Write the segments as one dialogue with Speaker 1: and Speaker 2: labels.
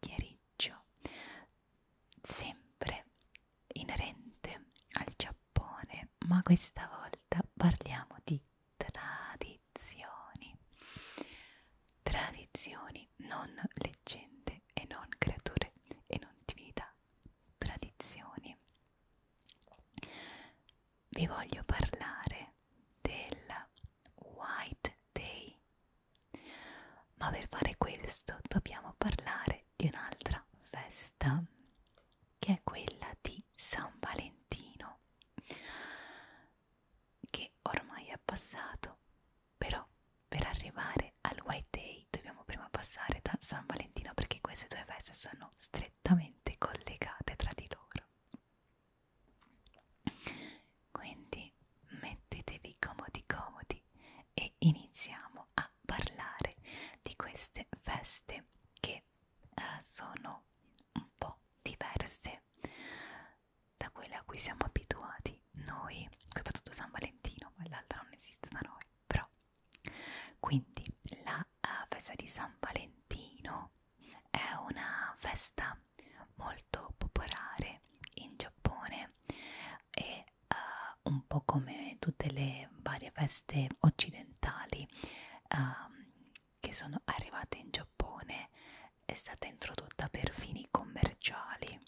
Speaker 1: chiacchiericcio sempre inerente al Giappone, ma questa volta parliamo di tradizioni. Tradizioni, non leggende e non creature e non divinità. Tradizioni. Vi voglio parlare del White Day ma per fare questo dobbiamo parlare di un'altra festa, che è quella di San Valentino, che ormai è passato, però per arrivare al White Day dobbiamo prima passare da San Valentino perché queste due feste sono strettamente collegate tra di loro. Quindi mettetevi comodi comodi e iniziamo a parlare di queste feste che eh, sono un po' diverse da quelle a cui siamo abituati noi, soprattutto San Valentino, ma l'altra non esiste da noi, però. Quindi la uh, festa di San Valentino è una festa molto popolare in Giappone e uh, un po' come tutte le varie feste occidentali uh, che sono arrivate in Giappone è stata introdotta per fini commerciali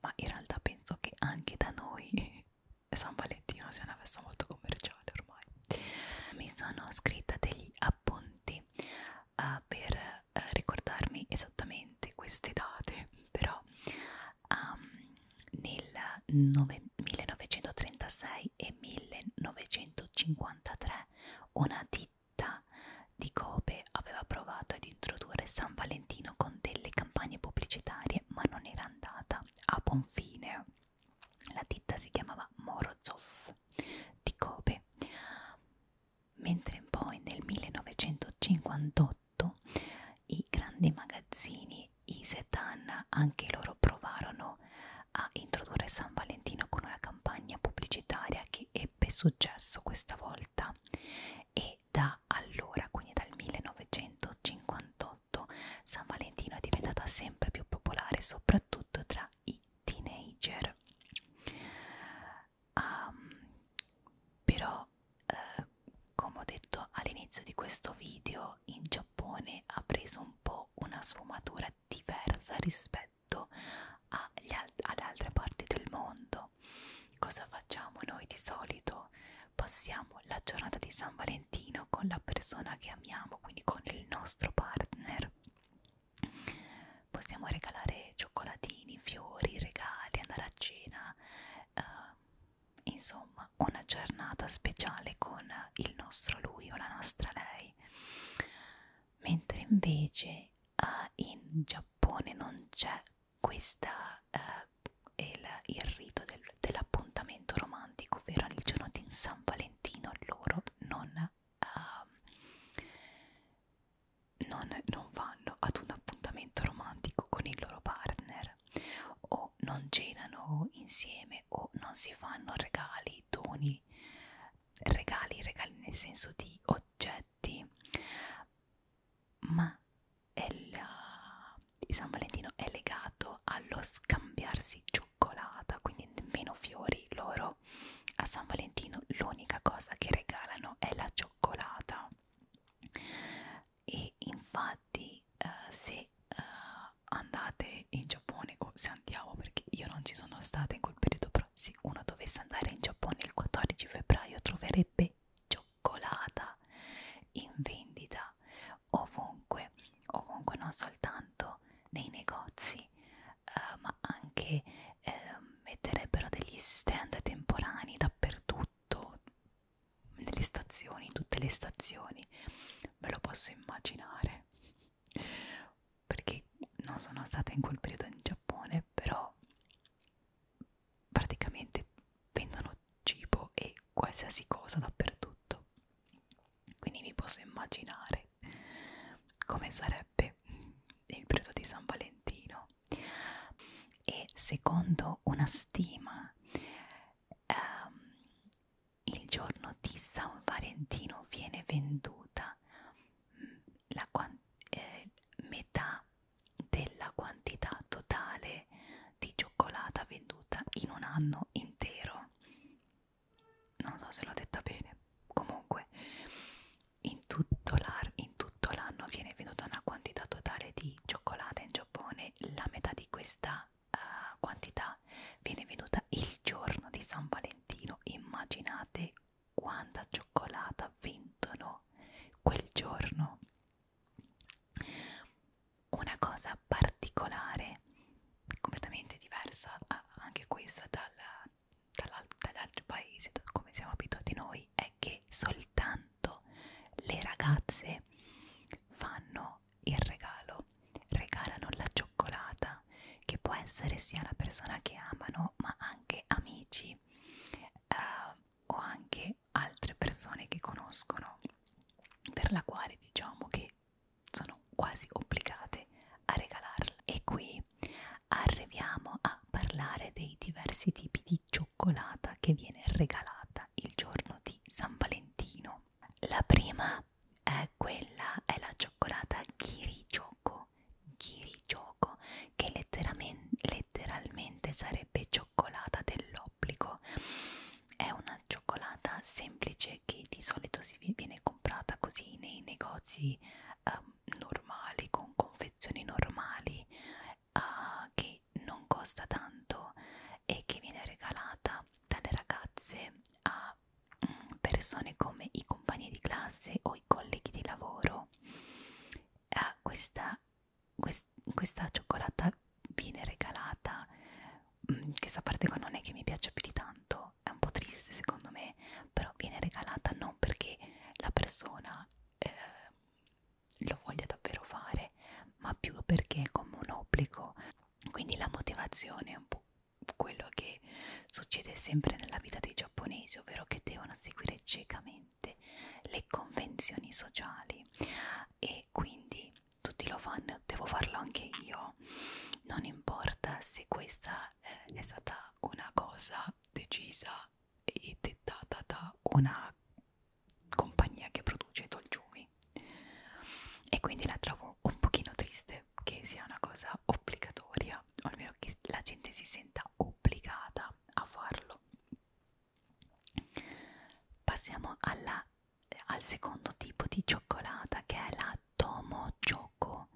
Speaker 1: ma in realtà penso che anche da noi San Valentino sia una festa molto commerciale ormai mi sono scritta degli appunti uh, per uh, ricordarmi esattamente queste date, però um, nel 9, 1936 e 1953 una ditta di Kobe aveva provato ad introdurre San Valentino con delle campagne pubblicitarie, ma non era andata a buon fine. La ditta si chiamava Morozov di Kobe, mentre poi nel 1958 i grandi magazzini Isetan anche loro provarono a introdurre San Valentino con una campagna pubblicitaria che ebbe successo questa volta e da allora, quindi dal 1958, San Valentino è diventata sempre più popolare soprattutto tra i i teenager. Um, però, eh, come ho detto all'inizio di questo video, in Giappone ha preso un po' una sfumatura diversa rispetto agli al ad altre parti del mondo. Cosa facciamo noi di solito? Passiamo la giornata di San Valentino con la persona che amiamo, quindi con il nostro partner possiamo regalare cioccolatini, fiori, regali, andare a cena, uh, insomma una giornata speciale con il nostro lui o la nostra lei. Mentre invece uh, in Giappone non c'è questa, uh, il, il rito del, dell'appuntamento romantico, ovvero il giorno di San Valentino loro non uh, non, non vanno ad un appuntamento romantico con il loro partner o non cenano insieme o non si fanno regali, doni, regali, regali nel senso di oggetti, ma il, il San Valentino è legato allo scambiarsi gioie cioccolata, quindi meno fiori loro. A San Valentino l'unica cosa che regalano è la cioccolata. E infatti uh, se uh, andate in Giappone o se andiamo perché io non ci sono stata in quel periodo, però se uno dovesse andare in Giappone il 14 febbraio troverebbe cioccolata in vendita ovunque, ovunque non soltanto nei negozi uh, ma anche uh, metterebbero degli stand temporanei dappertutto, nelle stazioni, tutte le stazioni, ve lo posso immaginare, perché non sono stata in quel periodo in Giappone, però praticamente vendono cibo e qualsiasi cosa dappertutto quindi vi posso immaginare come sarebbe il periodo di San Valentino e secondo una stima ehm, il giorno di San Valentino viene venduta mm, la eh, metà della quantità totale di cioccolata venduta in un anno intero non so se l'ho detta bene comunque in tutto l'anno viene venduta una quantità totale di cioccolata in Giappone la metà di questa uh, quantità viene venduta il giorno di San Valentino immaginate quanta cioccolata vendono quel giorno una cosa particolare completamente diversa anche questa dalla, dalla, dagli altri paesi, da come siamo abituati noi, è che soltanto le ragazze fanno il regalo, regalano la cioccolata, che può essere sia la persona che amano, ma anche amici eh, o anche altre persone che conoscono, per la quale diciamo che sono quasi obbligate a regalarla. E qui arriviamo a parlare dei diversi tipi di cioccolata che viene regalata il giorno di San Valentino. La prima è quella, è la cioccolata chirichoco, chirichoco che letteralmente sarebbe cioccolata dell'obbligo. È una cioccolata semplice che di solito si viene comprata così nei negozi um, normali, con confezioni normali, uh, che non costa tanto e che viene regalata dalle ragazze a mm, persone come i compagni di classe o i colleghi di lavoro. Uh, questa, quest, questa cioccolata viene regalata, um, questa parte qua non è che mi piace più di tanto, è un po' triste secondo me, però viene regalata non perché la persona eh, lo voglia davvero fare, ma più perché è come un obbligo. Quindi la motivazione è un po' quello che succede sempre nella vita dei giapponesi, ovvero che devono seguire ciecamente le convenzioni sociali e quindi tutti lo fanno, devo farlo anche io non importa se questa eh, è stata una cosa decisa e dettata da una compagnia che produce dolciumi e quindi la trovo un pochino triste che sia una cosa obbligatoria o almeno che la gente si senta obbligata a farlo passiamo alla al secondo tipo di cioccolata che è la tomo choco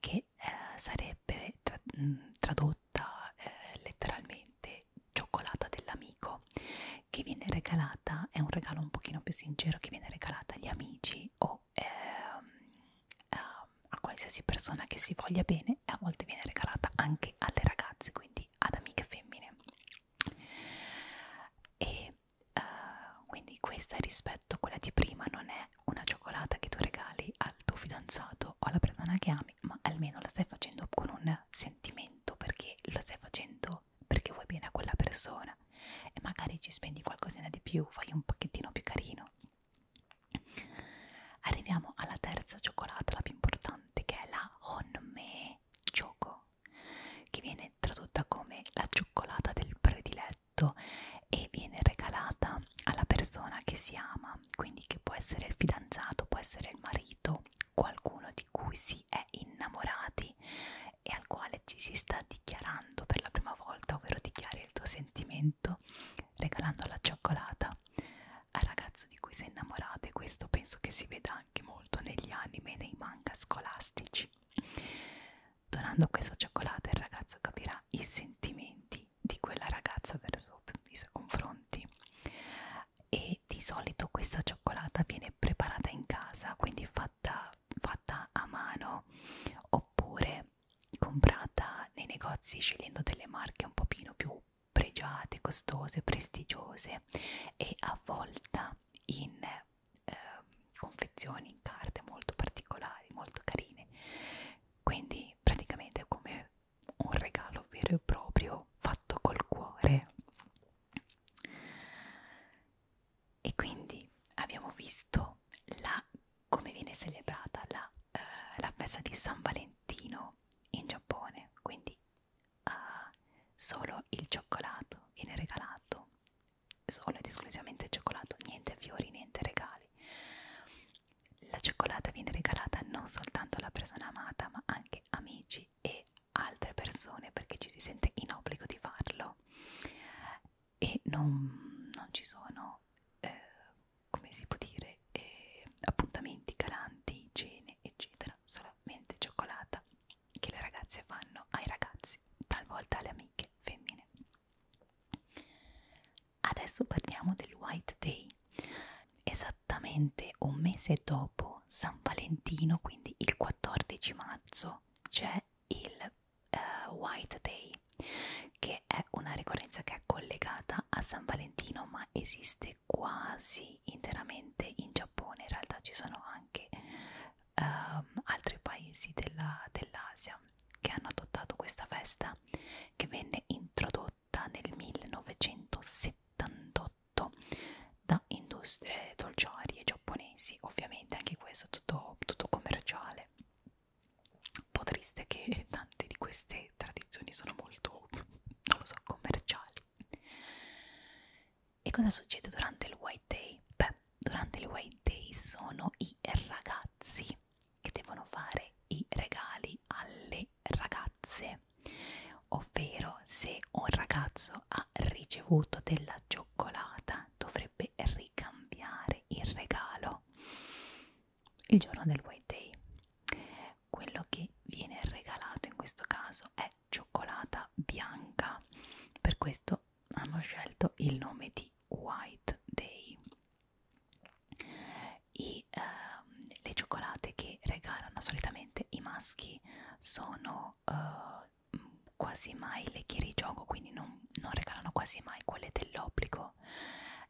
Speaker 1: che eh, sarebbe tra mm, tradotta eh, letteralmente cioccolata dell'amico che viene regalata è un regalo un pochino più sincero che viene regalata agli amici o eh, a, a qualsiasi persona che si voglia bene e a volte viene regalata anche alle ragazze quindi ad amiche femmine e uh, quindi questa rispetto a quella di prima non è una cioccolata che tu regali al tuo fidanzato o alla persona che ami, ma almeno la stai facendo con un sentimento perché la stai facendo perché vuoi bene a quella persona e magari ci spendi qualcosina di più, fai un pacchettino più carino. Arriviamo alla terza cioccolata, la più importante, che è la Honme Choco che viene tradotta come la cioccolata del prediletto e viene regalata alla persona che si ama, quindi che può essere il fidanzato, può essere il marito, qualcuno di cui si è innamorati e al quale ci si sta dichiarando per la prima volta, ovvero dichiari il tuo sentimento regalando la cioccolata al ragazzo di cui sei innamorato e questo penso che si veda anche molto negli anime e nei manga scolastici Donando questa cioccolata il ragazzo capirà i sentimenti di quella ragazza verso i suoi confronti e di solito questa cioccolata viene preparata in casa, quindi fatta, fatta a mano oppure comprata nei negozi scegliendo delle marche un pochino più pregiate, costose, prestigiose e avvolta in due eh, confezioni in carte molto particolari, molto carine. Quindi praticamente è come un regalo vero e proprio fatto col cuore. E quindi abbiamo visto la, come viene celebrata la, eh, la festa di San Valentino in Giappone, quindi eh, solo il cioccolato viene regalato solo ed esclusivamente cioccolato, niente fiori, niente regali. La cioccolata viene regalata non soltanto alla persona amata, ma anche amici e altre persone perché ci si sente in obbligo di farlo e non, non ci sono, eh, come si può dire, eh, appuntamenti galanti, cene, eccetera, solamente cioccolata che le ragazze fanno ai ragazzi, talvolta alle amiche femmine. Adesso parliamo del White Day. Esattamente un mese dopo San Valentino, quindi il 14 marzo, c'è il uh, White Day, che è una ricorrenza che è collegata a San Valentino, ma esiste quasi interamente in Giappone. In realtà ci sono anche ehm, altri paesi dell'Asia dell che hanno adottato questa festa che venne introdotta nel 1978 da industrie dolciarie giapponesi, ovviamente anche questo tutto, tutto commerciale. Un po' triste che tante di queste tradizioni sono molto, non lo so, commerciali. E cosa succede durante il White Day? Beh, durante il White Day sono i ragazzi che devono fare i regali alle ragazze, ovvero se un ragazzo ha ricevuto della cioccolata dovrebbe ricambiare il regalo il giorno del White Day. Quello che viene regalato in questo caso è cioccolata bianca, per questo hanno scelto il nome di White Day. I, uh, le cioccolate che regalano solitamente i maschi sono uh, quasi mai lecchiere di gioco, quindi non, non regalano quasi mai quelle dell'obbligo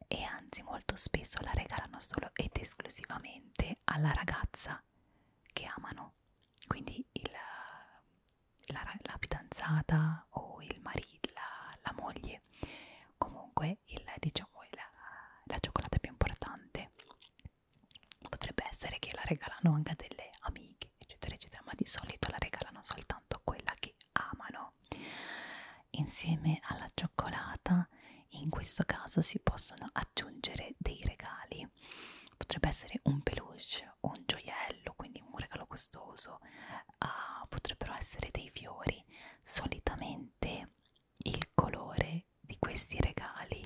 Speaker 1: e anzi molto spesso la regalano solo ed esclusivamente alla ragazza che amano. Quindi il, la, la fidanzata o il marito, la, la moglie, comunque il, diciamo, la, la cioccolata più importante potrebbe essere che la regalano anche a delle amiche, eccetera, eccetera, ma di solito la regalano soltanto a quella che amano. Insieme alla cioccolata in questo caso si possono aggiungere dei regali quindi potrebbe essere un peluche o un gioiello, quindi un regalo costoso, uh, potrebbero essere dei fiori. Solitamente il colore di questi regali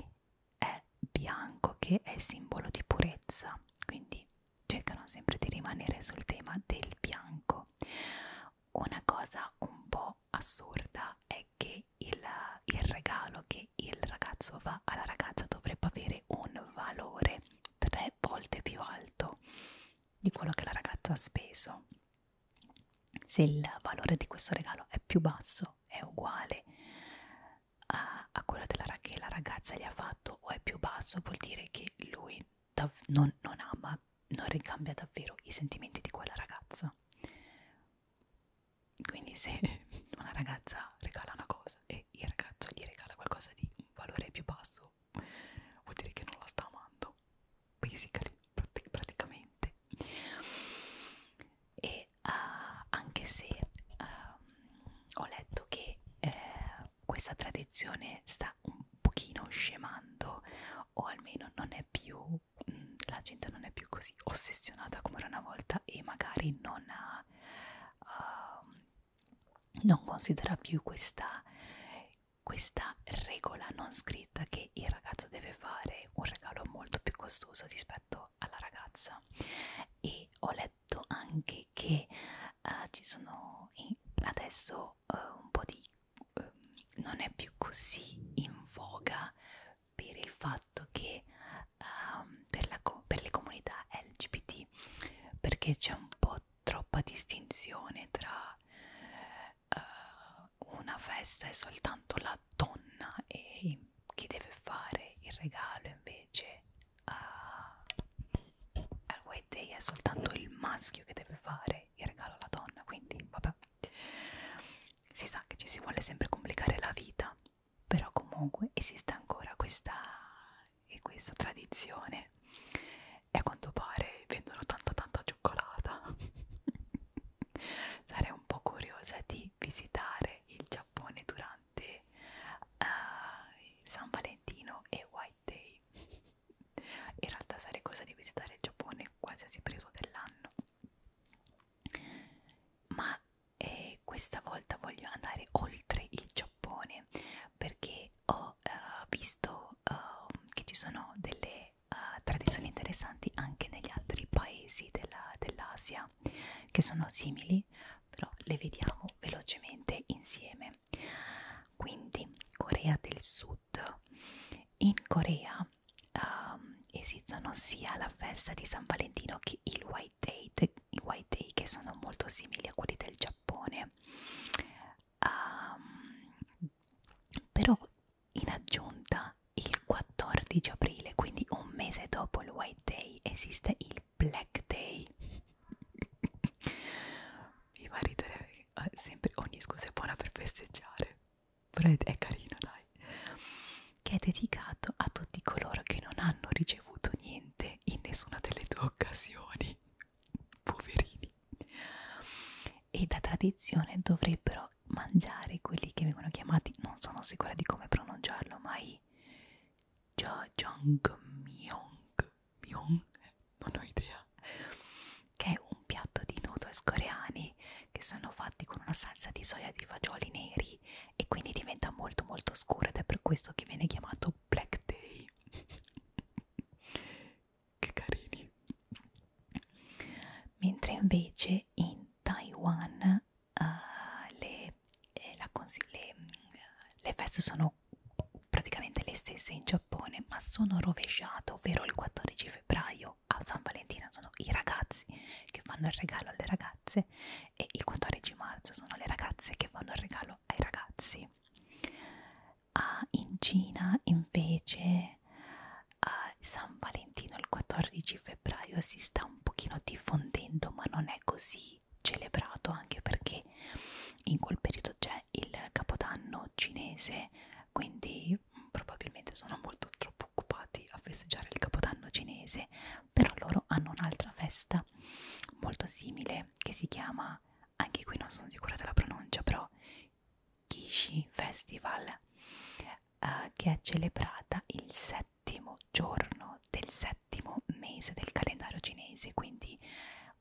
Speaker 1: è bianco, che è simbolo di purezza, quindi cercano sempre di rimanere sul tema del bianco. Una cosa un po' assurda è che il, il regalo quello che il ragazzo va alla ragazza dovrebbe avere un valore tre volte più alto di quello che la ragazza ha speso. Se il valore di questo regalo è più basso, è uguale a, a quello della, che la ragazza gli ha fatto o è più basso, vuol dire che lui non, non ama, non ricambia davvero i sentimenti di quella ragazza quindi se una ragazza regala una cosa e il ragazzo gli regala qualcosa di un valore più basso vuol dire che non la sta amando basically praticamente e uh, anche se uh, ho letto che uh, questa tradizione sta un pochino scemando o almeno non è più mh, mm, la gente non è più così ossessionata come era una volta e magari non ha uh, non considera più questa, questa regola non scritta che il ragazzo deve fare un regalo molto più costoso rispetto alla ragazza e ho letto anche che uh, ci sono adesso uh, un po' di uh, non è più così in voga per il fatto che um, per, la co per le comunità LGBT perché c'è un po' troppa distinzione tra uh, una festa è soltanto la donna e chi deve fare il regalo invece uh, al White Day è soltanto il maschio che deve fare il regalo alla donna quindi vabbè si sa che ci si vuole sempre complicare la vita però comunque esiste ancora questa, eh, questa tradizione e a quanto pare vendono tanta tanta cioccolata sarei un po' curiosa di visitare il Giappone durante uh, San Valentino e White Day in realtà sarei cosa di visitare il Giappone qualsiasi periodo dell'anno ma e questa volta voglio andare oltre il Giappone perché ho uh, visto uh, che ci sono delle uh, tradizioni interessanti anche negli altri paesi dell'Asia dell che sono simili però le vediamo velocemente insieme quindi Corea del Sud in Corea um, esistono sia la festa di San Valentino che il white day, de, i white day che sono molto simili a quelli del Giappone um, però in aggiunta il 14 aprile quindi un mese dopo il white day esiste il black day mi fa ridere perché sempre ogni scusa è buona per festeggiare però è carino dai Spotify che è dedicato a tutti coloro che non hanno ricevuto niente in nessuna delle due occasioni poverini e da tradizione dovrebbero mangiare quelli che vengono chiamati non sono sicura di come pronunciarlo ma i jajang myong myong non ho idea che è un piatto di noodles coreani che sono fatti con una salsa di soia di fagioli neri day e quindi diventa molto molto scuro ed è per questo che viene chiamato black day che carini mentre invece in Taiwan uh, le, eh, la le, mm, le feste sono praticamente le stesse in Giappone ma sono rovesciate ovvero il 14 febbraio a San Valentino sono i ragazzi che fanno il regalo alle ragazze ragazze e il 14 marzo sono le ragazze che fanno il regalo ai ragazzi. Ah, in Cina invece a ah, San Valentino il 14 febbraio si sta un pochino diffondendo ma non è così celebrato anche perché in quel periodo c'è il capodanno cinese quindi mm, probabilmente sono molto troppo occupati a festeggiare il capodanno cinese però loro hanno un'altra festa molto simile che si chiama, anche qui non sono sicura della pronuncia, però Kishi Festival, eh, che è celebrata il settimo giorno del settimo mese del calendario cinese, quindi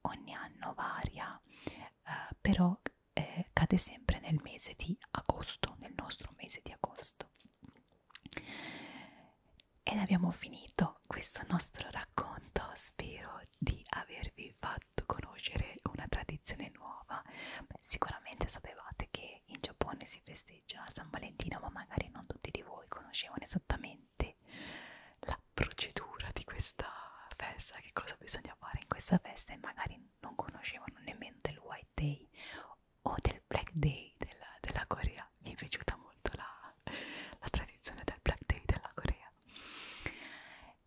Speaker 1: ogni anno varia, eh, però eh, cade sempre nel mese di agosto, nel nostro mese di agosto. Ed abbiamo finito questo nostro racconto, spero di avervi fatto conoscere una tradizione nuova. Beh, sicuramente sapevate che in Giappone si festeggia San Valentino, ma magari non tutti di voi conoscevano esattamente la procedura di questa festa, che cosa bisogna fare in questa festa e magari non conoscevano nemmeno del White Day o del Black Day della, della Corea, mi è piaciuta molto la, la tradizione del Black Day della Corea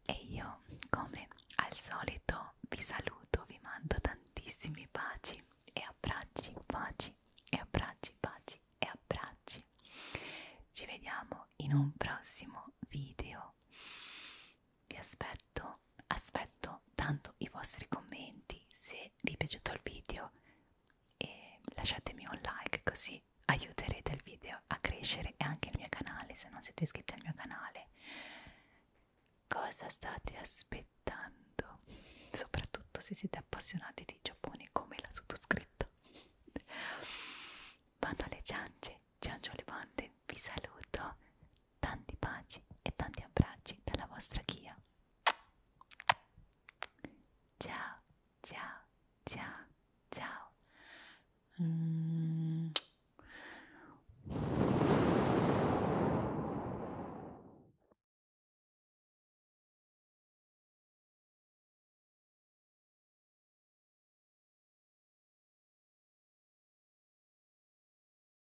Speaker 1: e io come al solito vi saluto, vi mando tantissimi baci e abbracci, baci e abbracci, baci e abbracci ci vediamo in un prossimo video vi aspetto detto aspetto tanto i vostri commenti se vi è piaciuto il video e lasciatemi un like così aiuterete il video a crescere e anche il mio canale se non siete iscritti al mio canale cosa state aspettando soprattutto se siete appassionati di Giappone come la sottoscritta Bando alle ciance, ciancio alle bande, vi saluto tanti baci e tanti abbracci dalla vostra Kia. Ciao, ciao, ciao, ciao. Mm.